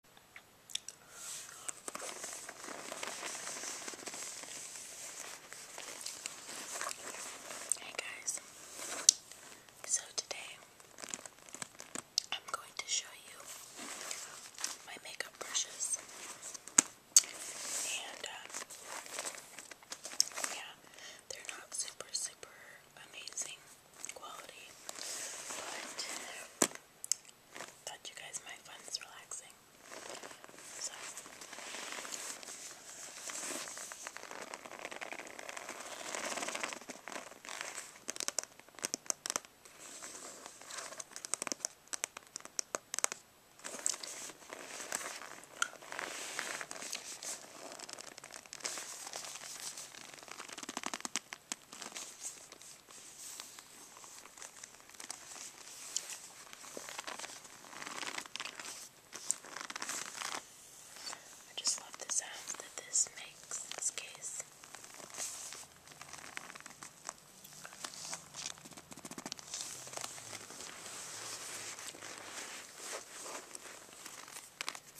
Hey guys, so today I'm going to show you my makeup brushes and uh, yeah, they're not super, super amazing quality, but Thought you guys might find this relaxing. So I just love the sounds that this makes in this case.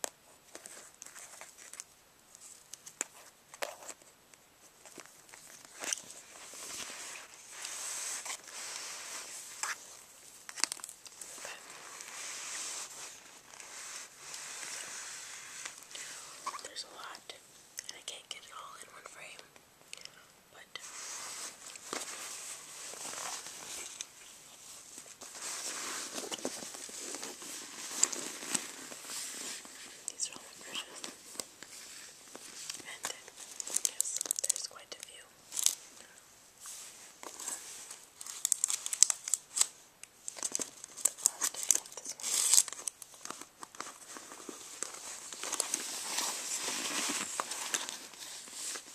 But there's a lot, and I can't get it all in one frame. But these are all the brushes. And yes, there's quite a few. The plastic, this one. This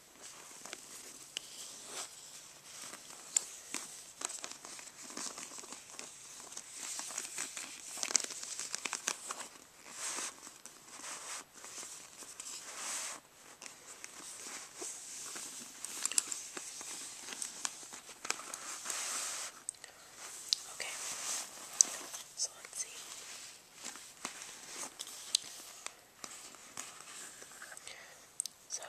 Okay, so let's see. So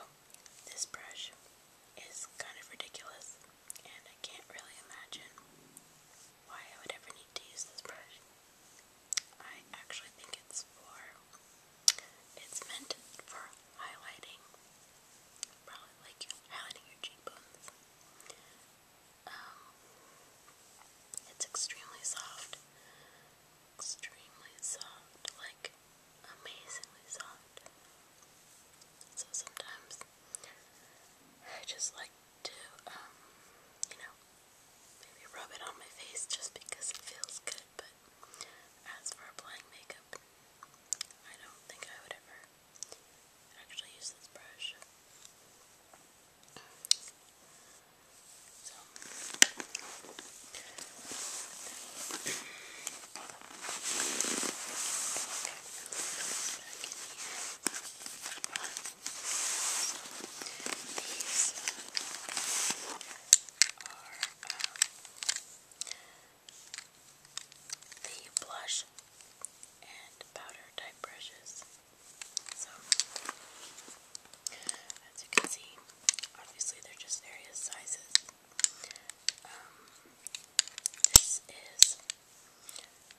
this brush is kind of ridiculous, and I can't really imagine why I would ever need to use this brush. I actually think it's for, it's meant for highlighting, probably like highlighting your cheekbones. Um, it's extremely soft extremely soft, like amazingly soft. So sometimes I just like to, um, you know, maybe rub it on my face just because it feels good, but as for applying makeup, I don't think I would ever actually use this brush. So these are um, the blush and powder type brushes. So as you can see, obviously they're just various sizes. Um, this is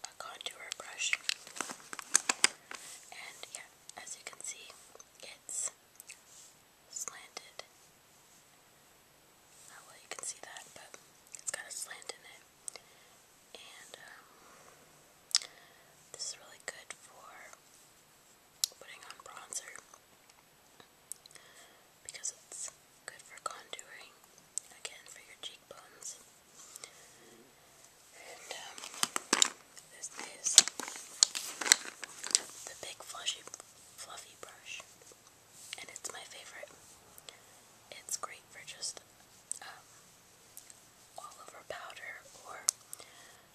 a contour brush, and yeah, as you can see, it's slanted. Not uh, well, you can see that, but it's got a slant in it, and um, this is really good for putting on bronzer because it's good for contouring, again for your cheekbones. And um, this is the big flushy, fluffy brush, and it's my favorite. It's great for just um, all over powder or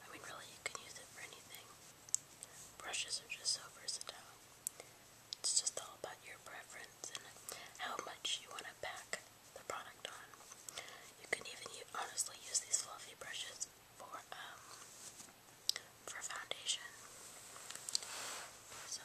I mean, really, you can use it for anything. Brushes are just so versatile. It's just all about your preference and how much you want to pack the product on. You can even use, honestly use these fluffy brushes for um for foundation. So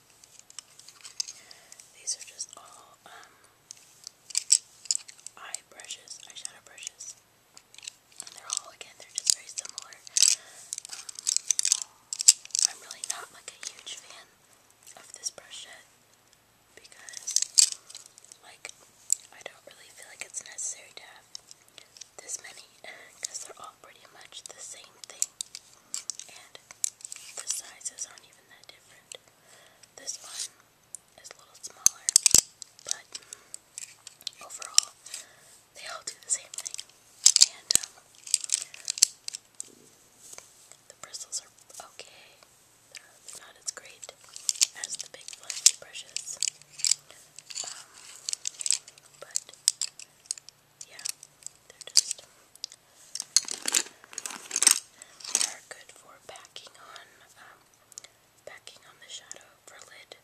These are just all um, eye brushes, eyeshadow brushes. And they're all, again, they're just very similar. Um, I'm really not like a huge fan of this brush yet because, like, I don't really feel like it's necessary to have this many because they're all pretty much the same thing. And the sizes aren't even that different. This one is a little smaller, but overall, they all do the same thing. And um, the bristles are okay, they're not as great as the big fluffy brushes. Um, but yeah, they're just they are good for packing on um, packing on the shadow for lid.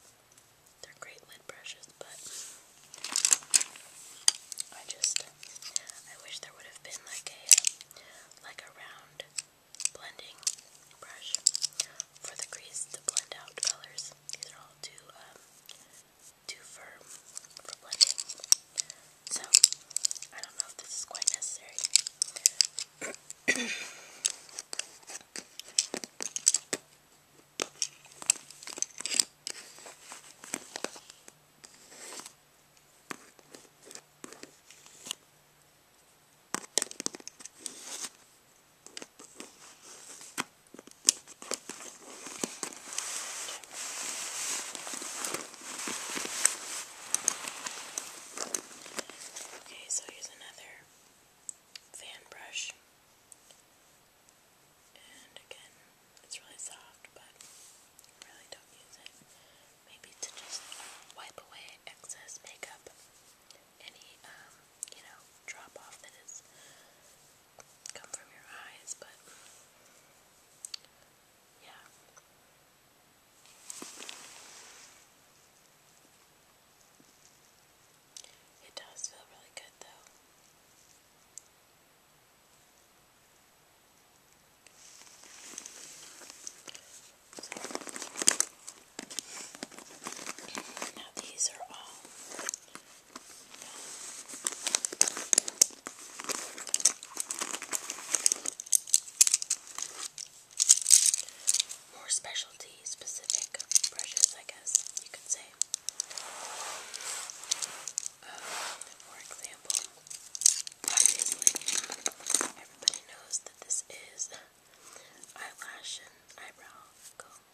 They're great lid brushes, but I just I wish there would have been like a like a round blending brush for the crease to blend out colors. These are all too um too firm for blending. So, I don't know if this is quite necessary. Okay, so here's another fan brush. And again, it's really soft, but really don't use it. Maybe to just wipe away excess makeup, any, um, you know, drop off that is come from your eyes, but yeah. It does feel really good though. now these are all more specialty specific brushes, I guess you could say. Um, for example, obviously, everybody knows that this is eyelash and eyebrow comb.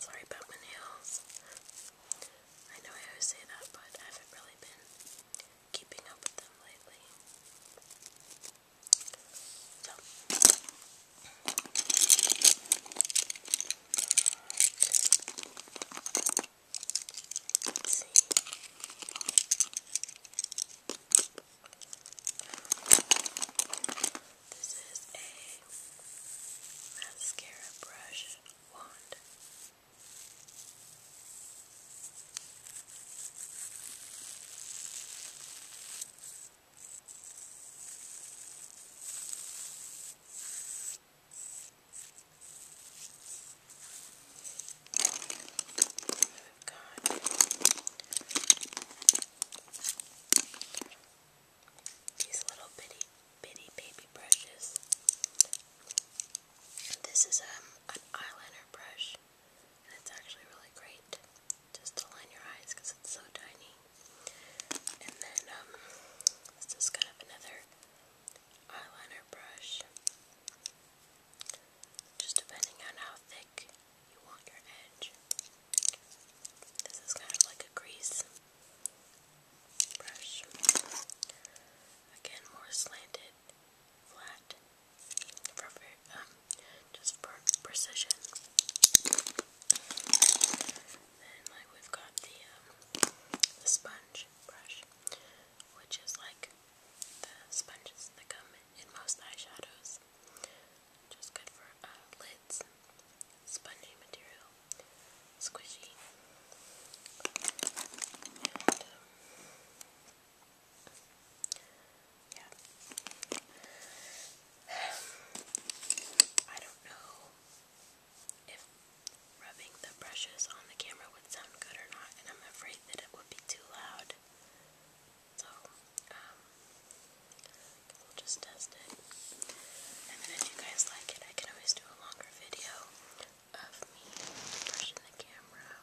Sorry about my nails. I know I always say that, but I haven't really been keeping up with them lately. So. Okay. Let's see. This is a mascara brush wand. We've got these little bitty bitty baby brushes. This is um an eyeliner brush it's actually really great just to line your eyes because it's so tiny. And then this is kind of another eyeliner brush, just depending on how thick you want your edge. This is kind of like a grease brush. Again, more slanted, flat, um, just for precision. Then, like, we've got the, um, the sponge brush, which is like the sponges that come in most eyeshadows. Just good for uh, lids, spongy material, squishy. Um, yeah. I don't know if rubbing the brushes on the camera would sound good or not, and I'm afraid that it would be too loud. So, um, we'll just test it. And then if you guys like it, I can always do a longer video of me brushing the camera.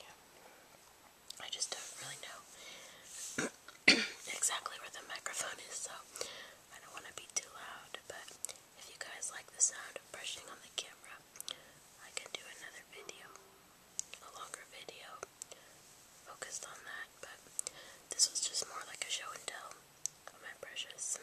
Yeah. I just don't really know exactly where the microphone is, so I don't want to be too loud, but if you guys like the sound of brushing on the camera, I can do another video, a longer video focused on that, but this was just more like a show and tell of my brushes.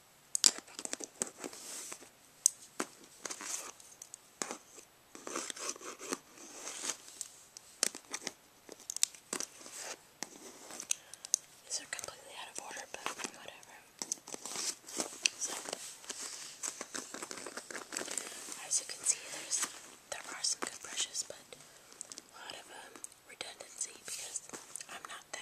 These are completely out of order, but whatever. as you can see, there's there are some good brushes, but a lot of um, redundancy because I'm not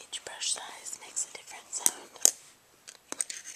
Each brush size makes a different sound.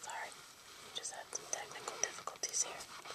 Sorry, just had some technical difficulties here. Okay.